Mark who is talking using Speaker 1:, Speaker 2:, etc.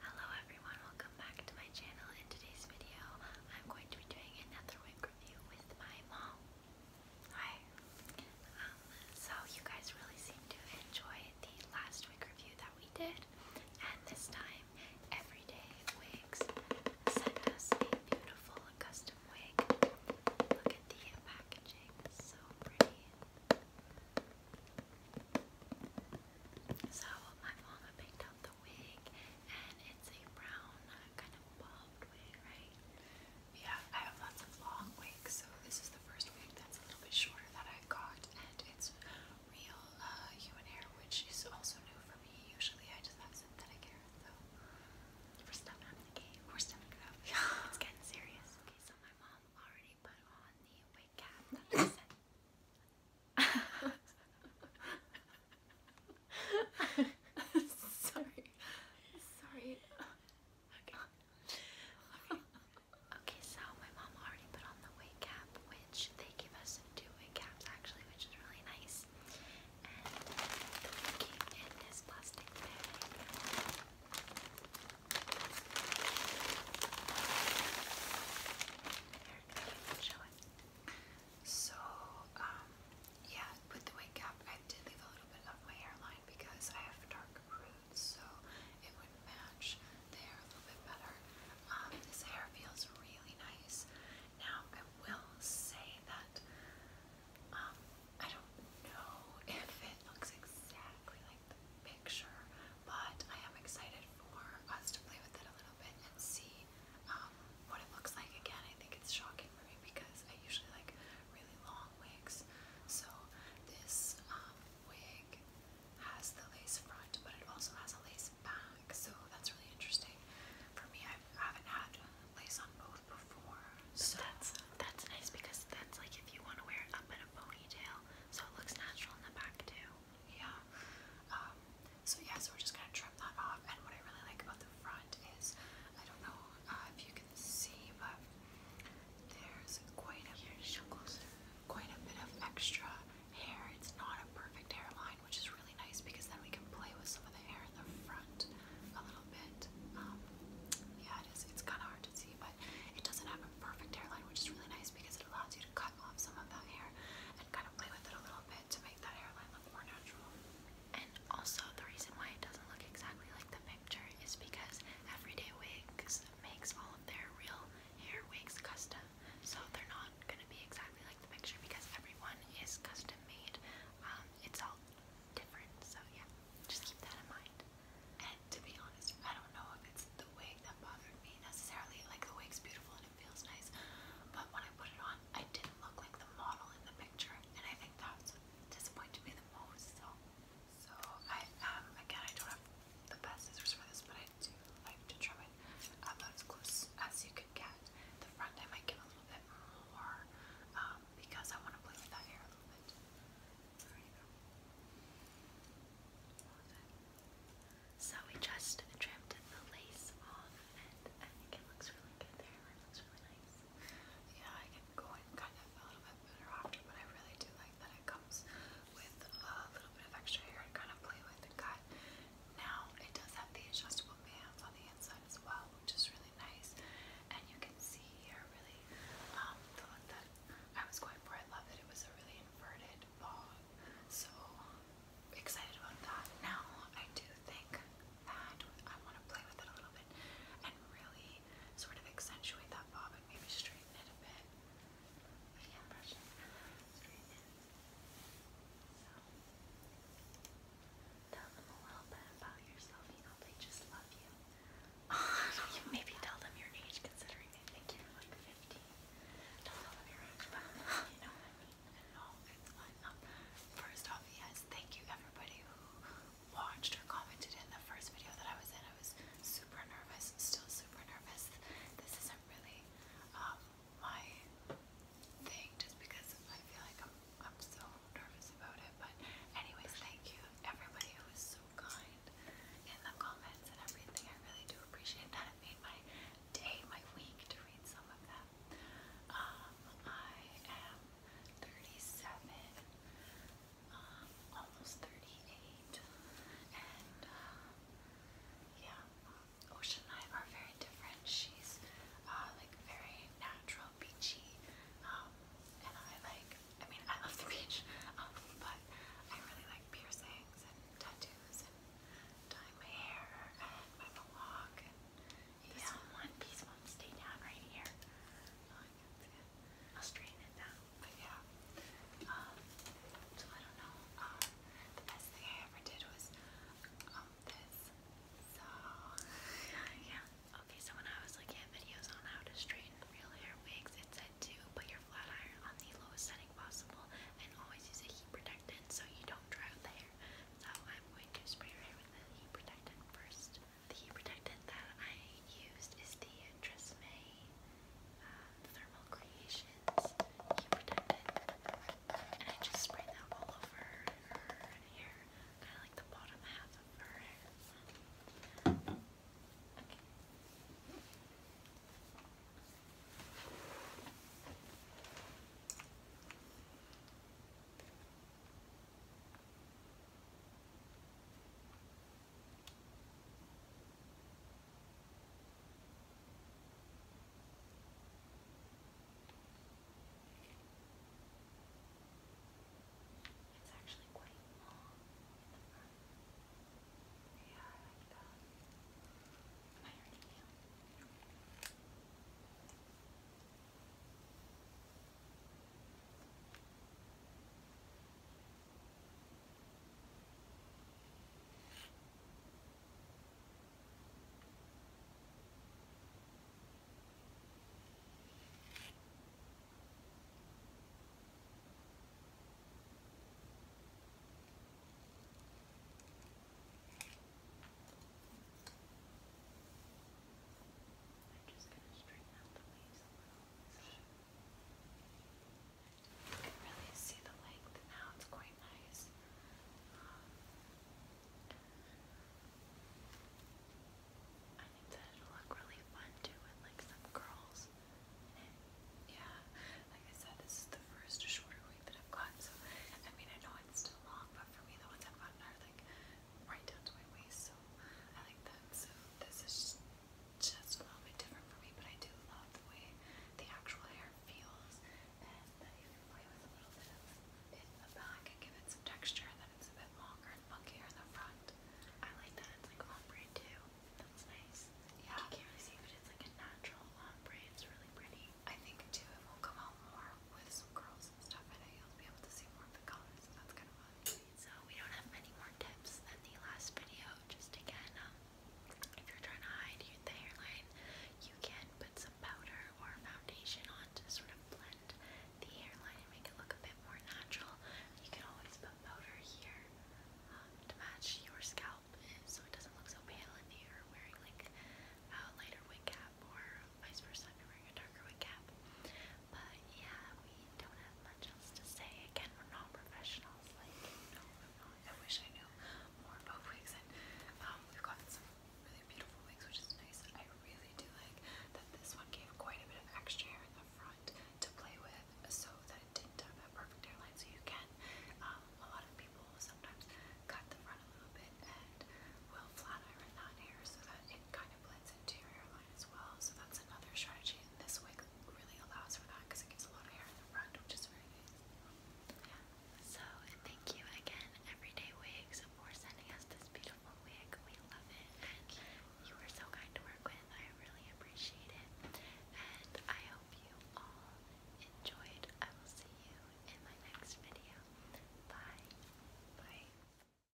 Speaker 1: Hello everyone, welcome back to my channel. In today's video, I'm going to be doing another wig review with my mom. Hi. Um, so you guys really seem to enjoy the last wig review that we did, and this time, Everyday Wigs sent us a beautiful custom wig. Look at the packaging, so pretty. So my mama picked out the wig and it's a brown uh, kind of bobbed wig, right? Yeah, I have lots of long wigs, so this is the first wig that's a little bit shorter that I have got and it's real uh, human hair, which is also new for me. Usually I just have synthetic hair, so we're stepping up the game. We're stepping up. it's getting serious. Okay, so my mom already Sorry. Sorry. Okay. Okay. so my mom already put on the wig cap, which they give us two wig caps actually, which is really nice. And the came in this plastic bag. So, um, yeah, with the wig cap, I did leave a little bit of my hairline because I have dark roots, so it would match there a little bit better. Um, this hair feels really nice. Now, I will say that um, I don't know if it looks exactly like the picture, but I am excited for us to play with it a little bit and see um, what it looks like again. I think it's shocking for me because I usually like really long wigs. So this um, wig has the lace front, but it also has a lace back, so that's really interesting. For me, I haven't had lace on both so that's that's nice because that's like if you want to wear it up in a ponytail, so it looks natural in the back too. Yeah. Um, so yeah, so we're just gonna trim that off. And what I really like about the front is, I don't know uh, if you can see, but there's quite a bit, quite a bit of extra hair. It's not a perfect hairline, which is really nice because then we can play with some of the hair in the front a little bit. Um, yeah, that is. It's kind of hard to see, but it doesn't have a perfect hairline, which is really nice because it allows you to cut off some of that hair and kind of play with it a little bit to make that hairline look more natural. And also, the reason why it doesn't look exactly like the picture is because Everyday Wigs makes all of their real hair wigs custom, so they're not going to be exactly like the picture because everyone is custom made. Um, it's all different. So yeah, just keep that in mind. And to be honest, I don't know if it's the wig that bothered me necessarily. Like the wig's beautiful and it feels nice, but when I put it on, I didn't look like the model in the picture, and I think that's what disappointed me the most. So, so I um again I don't have the best scissors for this, but I do like to trim it about um, as close as you can get. The front I might give a little bit more um, I want to So we just trimmed the lace off, and I think it looks really good there. It looks really nice. Yeah, I can go in kind of a little bit better after, but I really do like that it comes with a little bit of extra hair to kind of play with and cut. Now it does have the adjustable bands on the which is really nice. And you can see here really um, the look that I was going for. I love it. It was a really inverted bob. So excited about that. Now I do think that I want to play with it a little bit and really sort of accentuate that bob and maybe straighten it a bit. maybe tell them your age, considering they think you're like 15. tell them your age, but you know what I mean? No, it's fine. Um, first off, yes, thank you everybody who watched or commented in the first video that I was in. I was super nervous, still super nervous. This isn't really um, my thing just because I feel like I'm, I'm so nervous about it. But anyways, thank you everybody who was so kind in the comments and everything. I really do appreciate that. It made my day, my week to read some of them. Um, I am 37, um, almost 38, and uh, yeah, Ocean and I are very different. She's uh, like very natural, beachy, um, and I like. I mean, I love the beach, um, but I really like piercings and tattoos and dyeing my hair my mohawk. yeah. one piece will stay down right here. Oh, I will straighten it down. But yeah. Um, so I don't know. Um, the best thing I ever did was of this. So, yeah. Okay, so when I was looking at videos on how to straighten real hair wigs, it said to put your flat iron on the lowest setting possible and always use a heat protectant so you don't dry out the hair. So I'm going to spray your hair with the heat protectant first. The heat protectant that I used is the Tresemme uh, Thermal Creations Heat Protectant. And I just spray that all over her hair, kind of like the bottom half of her Okay. It's actually quite long Yeah, I like that. you? I'm just going to straighten out the leaves a little. You can really see the length now, it's quite nice. Um, I think that it'll look really fun too with like some curls Yeah, like I said, this is the first shorter wig that I've gotten, so I mean, I know it's still long, but for me, the ones I've gotten are like right down to my waist, so I like that. So, this is just a little bit different for me, but I do love the way the actual hair feels. And if you play with a little bit of the back and give it some texture, and then it's a bit longer and funkier in the front. I like that it's like a long ombre too. That's nice. Yeah. I can't really see, but it's like a natural ombre. It's really pretty. I think too it will come out more with some curls and stuff and it. You'll be able to see more of the colors, so that's kind of fun so we don't have many more tips than the last video. Just again, um, if you're trying to hide the hairline, you can put some powder or foundation on to sort of blend the hairline and make it look a bit more natural. You can always put powder here um, to match your scalp so it doesn't look so pale if you're wearing like a lighter wig cap or vice versa if you're wearing a darker wig cap. But yeah, don't have much else to say. Again, we're not professionals. Like, no, we're not. I wish I knew more about wigs. And um, we've gotten some really beautiful wigs, which is nice. I really do like that this one gave quite a bit of extra hair in the front to play with, so that it didn't have that perfect hairline. So you can. Um, a lot of people sometimes cut the front a little bit and will flat iron that hair so that it kind of blends into your hairline as well, so that's another strategy. this wig really allows for that because it gives a lot of hair in the front, which is very nice. So thank you again, Everyday Wigs, for sending us this beautiful wig. We love it, you were so kind to work with. I really appreciate it, and I hope you all enjoyed. I will see you in my next video. Bye. Bye.